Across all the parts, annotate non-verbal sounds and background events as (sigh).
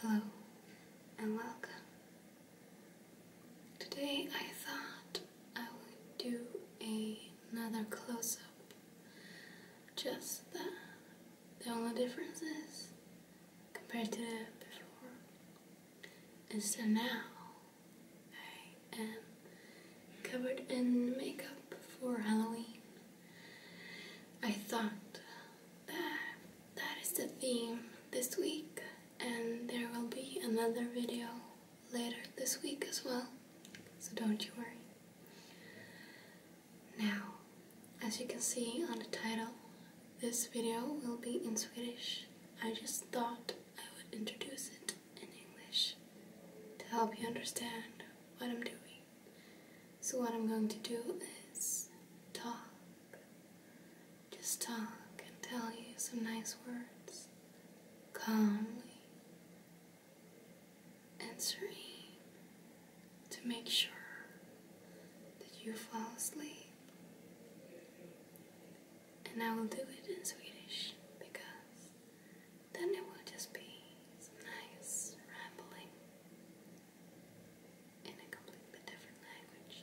Hello and welcome. Today I thought I would do another close up. Just the only difference is compared to before is that now I am covered in makeup for Halloween. I thought that, that is the theme this week and there will be another video later this week as well so don't you worry now as you can see on the title this video will be in Swedish I just thought I would introduce it in English to help you understand what I'm doing so, what I'm going to do is talk. Just talk and tell you some nice words calmly and to make sure that you fall asleep. And I will do it in Swedish because then it will just be some nice rambling in a completely different language.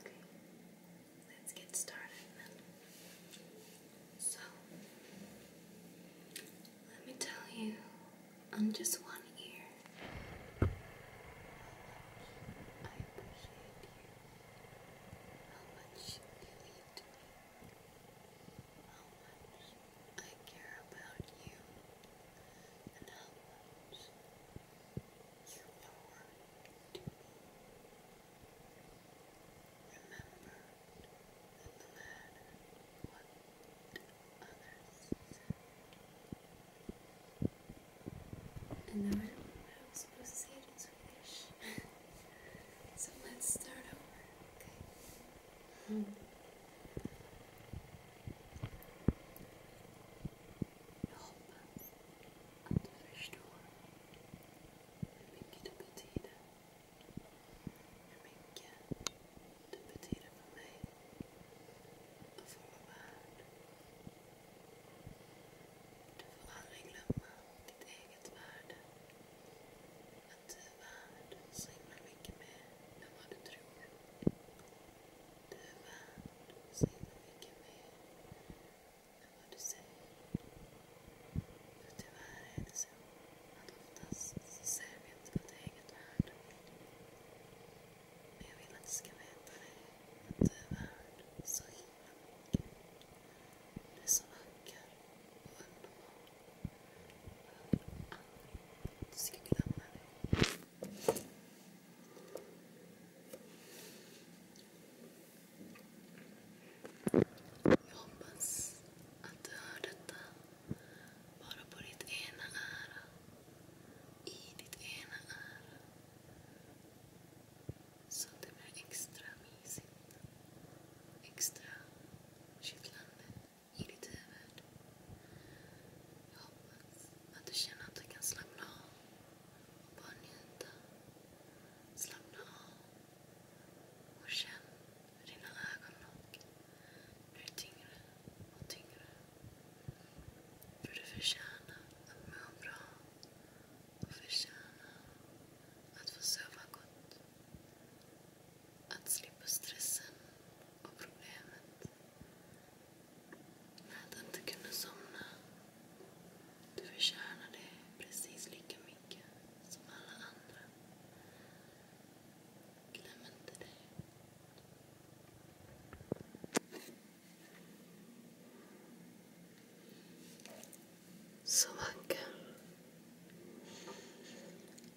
Okay, let's get started So, let me tell you on just one year. I care about you and how much you are to me. Remember that no what others say. And I remember I was supposed to say it in Swedish. (laughs) so let's start over, Mm. Jag hoppas att du förstår hur mycket du betyder. Hur mycket du betyder för mig och för vår värld. Du får aldrig glömma ditt eget värde att du är värd så himla mycket mer än vad du tror. Du är värd så himla mycket mer än vad du säger. tyvärr är det så att oftast så vi inte vårt eget värde. Men jag vill att du ska veta det, att du är värd så himla mycket. Du är så vacker. Jag hoppas att du bara på ditt ena öra. I ditt ena öra. Så det blir extra mysigt. Extra kittlande. i ditt huvud. Jag hoppas att du känner att du kan slappna av och bara njuta. Slappna av och känn hur dina ögonlock blir tyngre och tyngre. För du förtjänar att må bra och förtjänar att få sova gott. Att slippa stressen och problemet med att inte kunna somna. Du förtjänar det precis lika mycket som alla andra. Glöm inte det. Så vacker.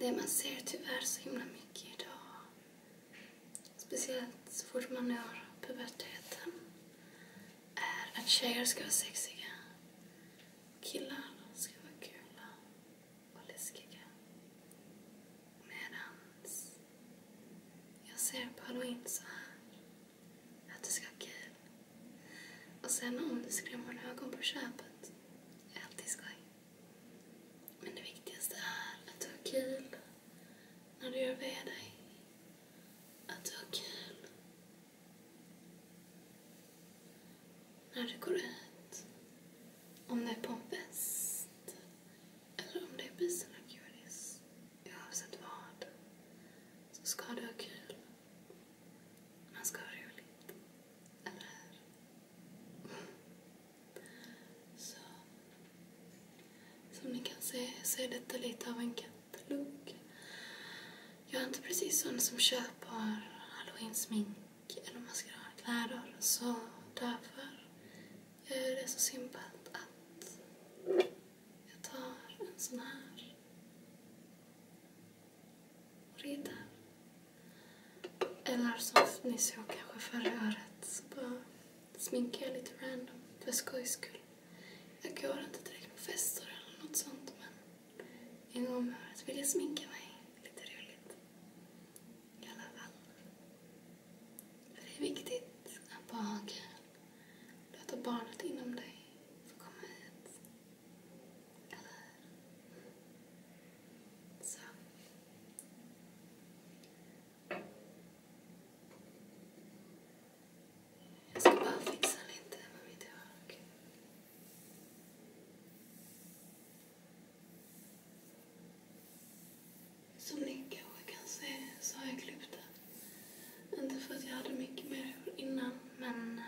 det man ser tyvärr så himla mycket idag. Speciellt så fort man når puberteten. Är att tjejer ska vara sexiga. Killar ska vara kula och läskiga. Medans jag ser på halloween så här. Att det ska vara kul. Och sen om du skrämmer ögon på köpet. Är alltid skoj. Men det viktigaste är att du har kul när du gör med dig. Att du har kul när du går ut. Om det är på en fest eller om det är busen och godis. Oavsett vad så ska du ha kul. Man ska ha roligt. Eller hur? Så. Som ni kan se så är detta lite av en katalog. Jag är inte precis sån som köper halloween-smink eller maskeradkläder så därför är det så simpelt att jag tar en sån här reda. Eller som ni såg kanske förra året så bara sminkar jag lite random för skojs skull. Jag går inte direkt på fester eller något sånt men en gång om året vill jag sminka mig. Lite roligt. I alla fall. För det är viktigt att bara ha kul. Låta barnet inom dig få komma ut. Eller så. Jag ska bara fixa lite med mitt hår. Som ni kanske kan se så har jag klippt det. Inte för att jag hade mycket mer hår innan men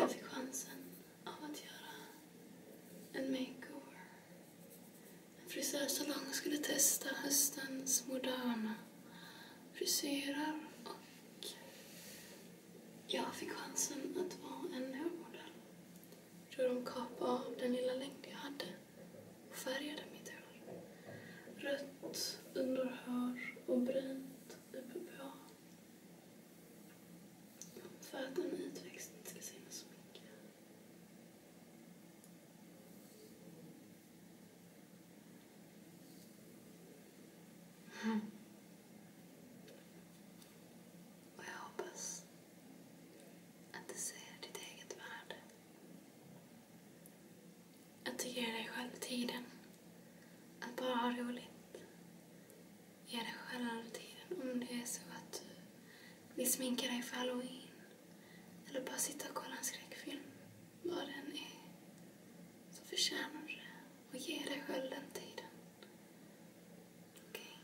jag fick chansen av att göra en makeover. En frisörsalong skulle testa höstens moderna frisyrer och jag fick chansen att vara en hårmodell. Jag tror de kapade av den lilla längd jag hade och färgade mitt hår. Rött underhår och brunt uppe på. För att en utväxt inte ska synas så mycket. Mm. Och jag hoppas att du ser ditt eget värde. Att du ger dig själv tiden att bara ha roligt ge dig själv tiden. Om det är så att du vill sminka dig för halloween eller bara sitta och kolla en skräckfilm, vad den är, så förtjänar du det. Och ge dig själv den tiden. Okej?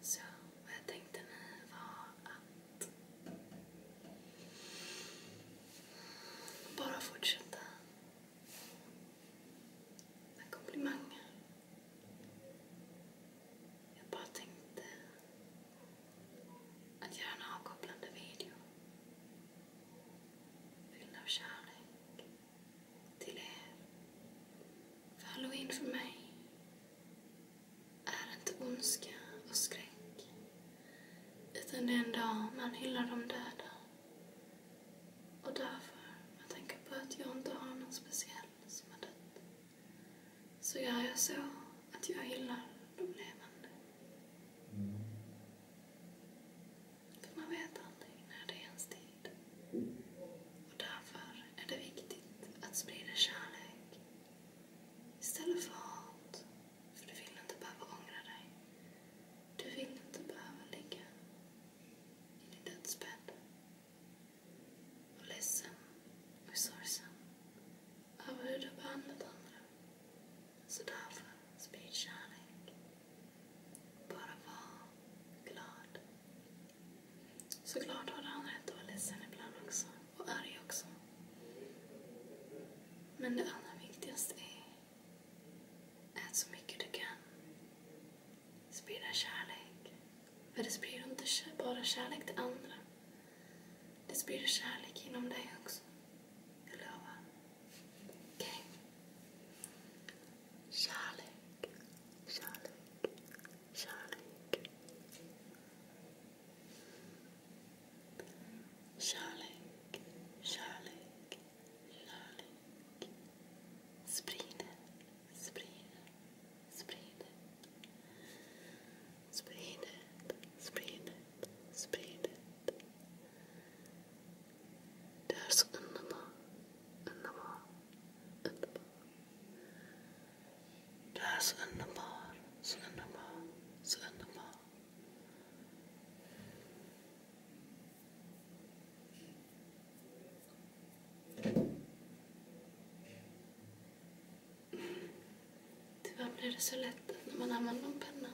Så, vad jag tänkte nu var att bara fortsätta med komplimanger. Jag bara tänkte att göra en avkopplande video fylld av kärlek till er. För halloween för mig är inte ondska och skräck utan det är en dag man hyllar de döda. Och därför, jag tänker på att jag inte har någon speciell som har dött, så gör jag så att jag hyllar de levande. För man vet aldrig när det är ens tid. Och därför är det viktigt att sprida kärlek istället för hat för du vill inte behöva ångra dig. Du vill inte behöva ligga i din dödsbädd och ledsen och sorgsen över hur du har behandlat andra. Så därför, sprid kärlek. Bara var glad. Så glad har han rätt att vara ledsen ibland också och arg också. Men det allra viktigaste är ät så mycket du kan. Sprida kärlek. För det sprider inte bara kärlek till andra. Det sprider kärlek inom dig också. Jag lovar. Okej? Kärlek, kärlek, kärlek. Kärlek, kärlek, kärlek. Sprid det, sprid det, sprid det. Det är så underbart, underbart, underbart. Du är så underbar, så underbar, så underbar. Tyvärr blir det så lätt när man använder en penna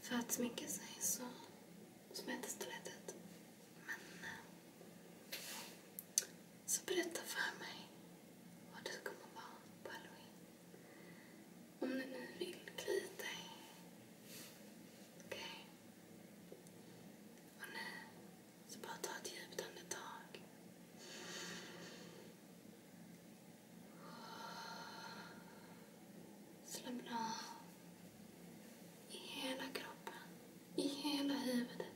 för att sminka sig så det lätt ut. Men... Eh, så berätta för mig vad det kommer vara på halloween. Om du nu vill, kli dig. Okej? Okay. Och nu, så bara ta ett djupt andetag. Slappna av i hela kroppen, i hela huvudet.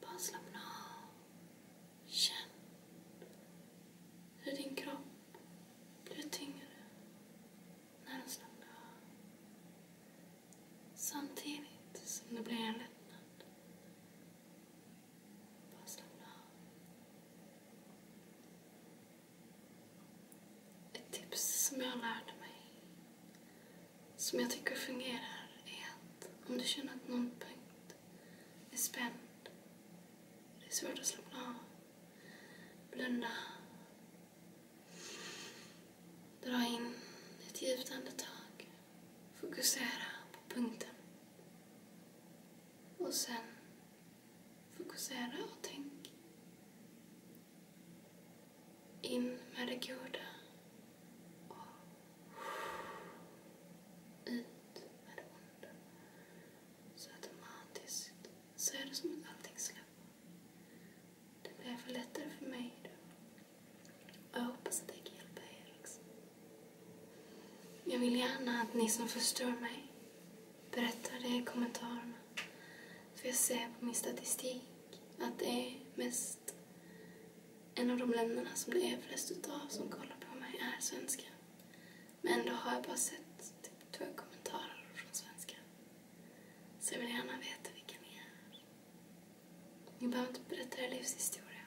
Bara slappna av. Känn hur din kropp blir tyngre när den slappnar av. Samtidigt som det blir en lättnad. Bara slappna av. Ett tips som jag lärde mig som jag tycker fungerar är att om du känner att någon punkt är spänd, det är svårt att slappna av, blunda, dra in ett djupt andetag, fokusera på punkten och sen fokusera och tänk in med det goda och ut med det onda. Så automatiskt så är det som att allting släpper. Det blir för lättare för mig då. Och jag hoppas att det kan hjälpa er också. Jag vill gärna att ni som förstår mig berättar det i kommentarerna. För jag ser på min statistik att det är mest en av de länderna som det är flest utav som kollar på mig är svenska. Men ändå har jag bara sett typ två kommentarer från svenska. Så jag vill gärna veta vilka ni är. Ni behöver inte berätta er livshistoria.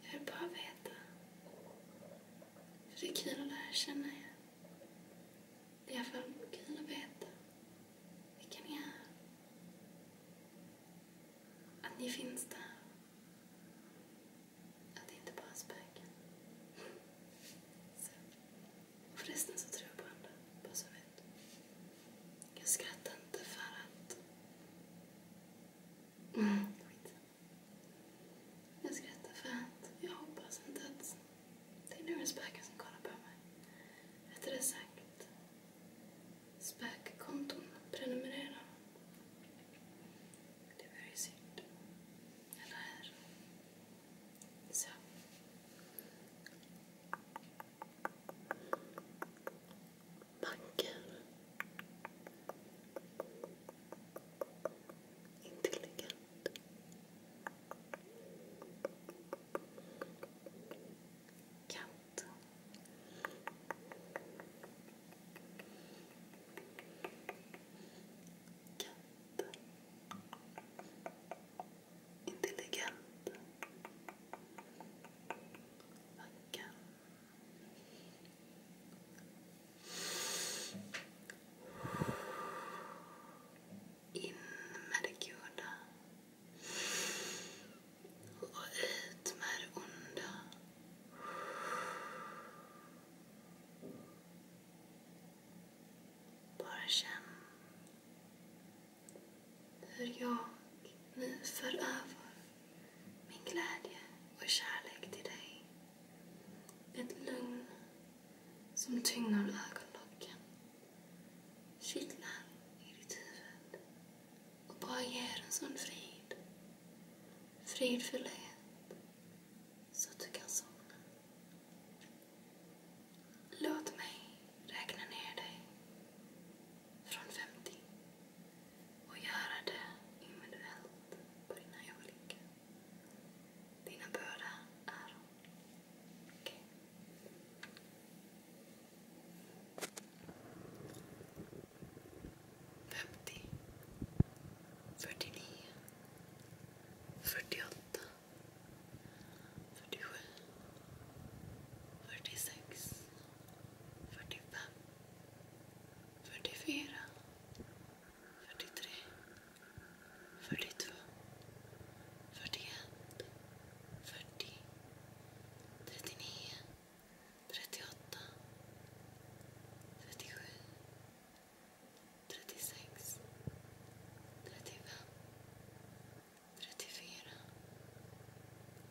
Jag vill bara veta. För det är kul att lära känna er. Det är i alla fall kul att veta vilka ni är. Att ni finns där. Att det inte bara är spöken. Så. Och förresten så tror jag på andra, bara så vet. Jag skrattar inte för att... Mm. Jag skrattar för att jag hoppas inte att det är några spöken som kollar på mig. Rättare sagt SPAC-konton prenumerera. Det är väldigt synd. Eller här. Så. Banker. Intelligent katt. Katt. Intelligent. Vacker. In med det goda. Och ut med det onda. Bara känn hur jag nu för över min glädje och kärlek till dig. Ett lugn som tynger ögonlocken kittlar i ditt huvud och bara ger en sån frid. Fridfullhet så att du kan somna. Låt mig räkna ner dig från 50 och göra det individuellt på dina olika. Dina båda öron. Okej? 50 49 48 47 46 45 44 43 42 41 40, 39, 38, 37, 36, 35, 34, 33,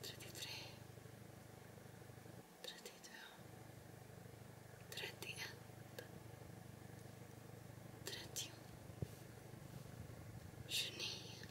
32, 31, 30, 29,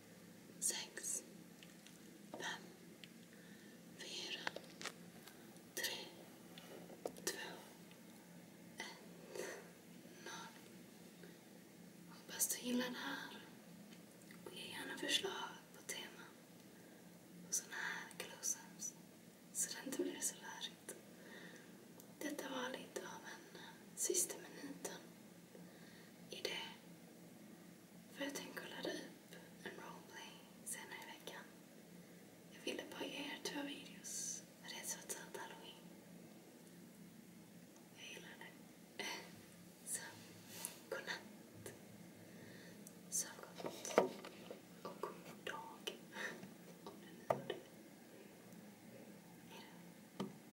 sex, fem, fyra, tre, två, ett, noll. Hoppas du gillar det här. ge gärna förslag på teman på sådana här close-ups så det inte blir så lärigt. Detta var lite av en sista minuten idé för jag tänker ladda upp en roleplay senare i veckan. Jag ville bara ge er två videos, för det är så tidigt halloween. Jag gillar det. (laughs) Så, godnatt. Sov gott. Och god dag. (laughs) Om du nu gör det.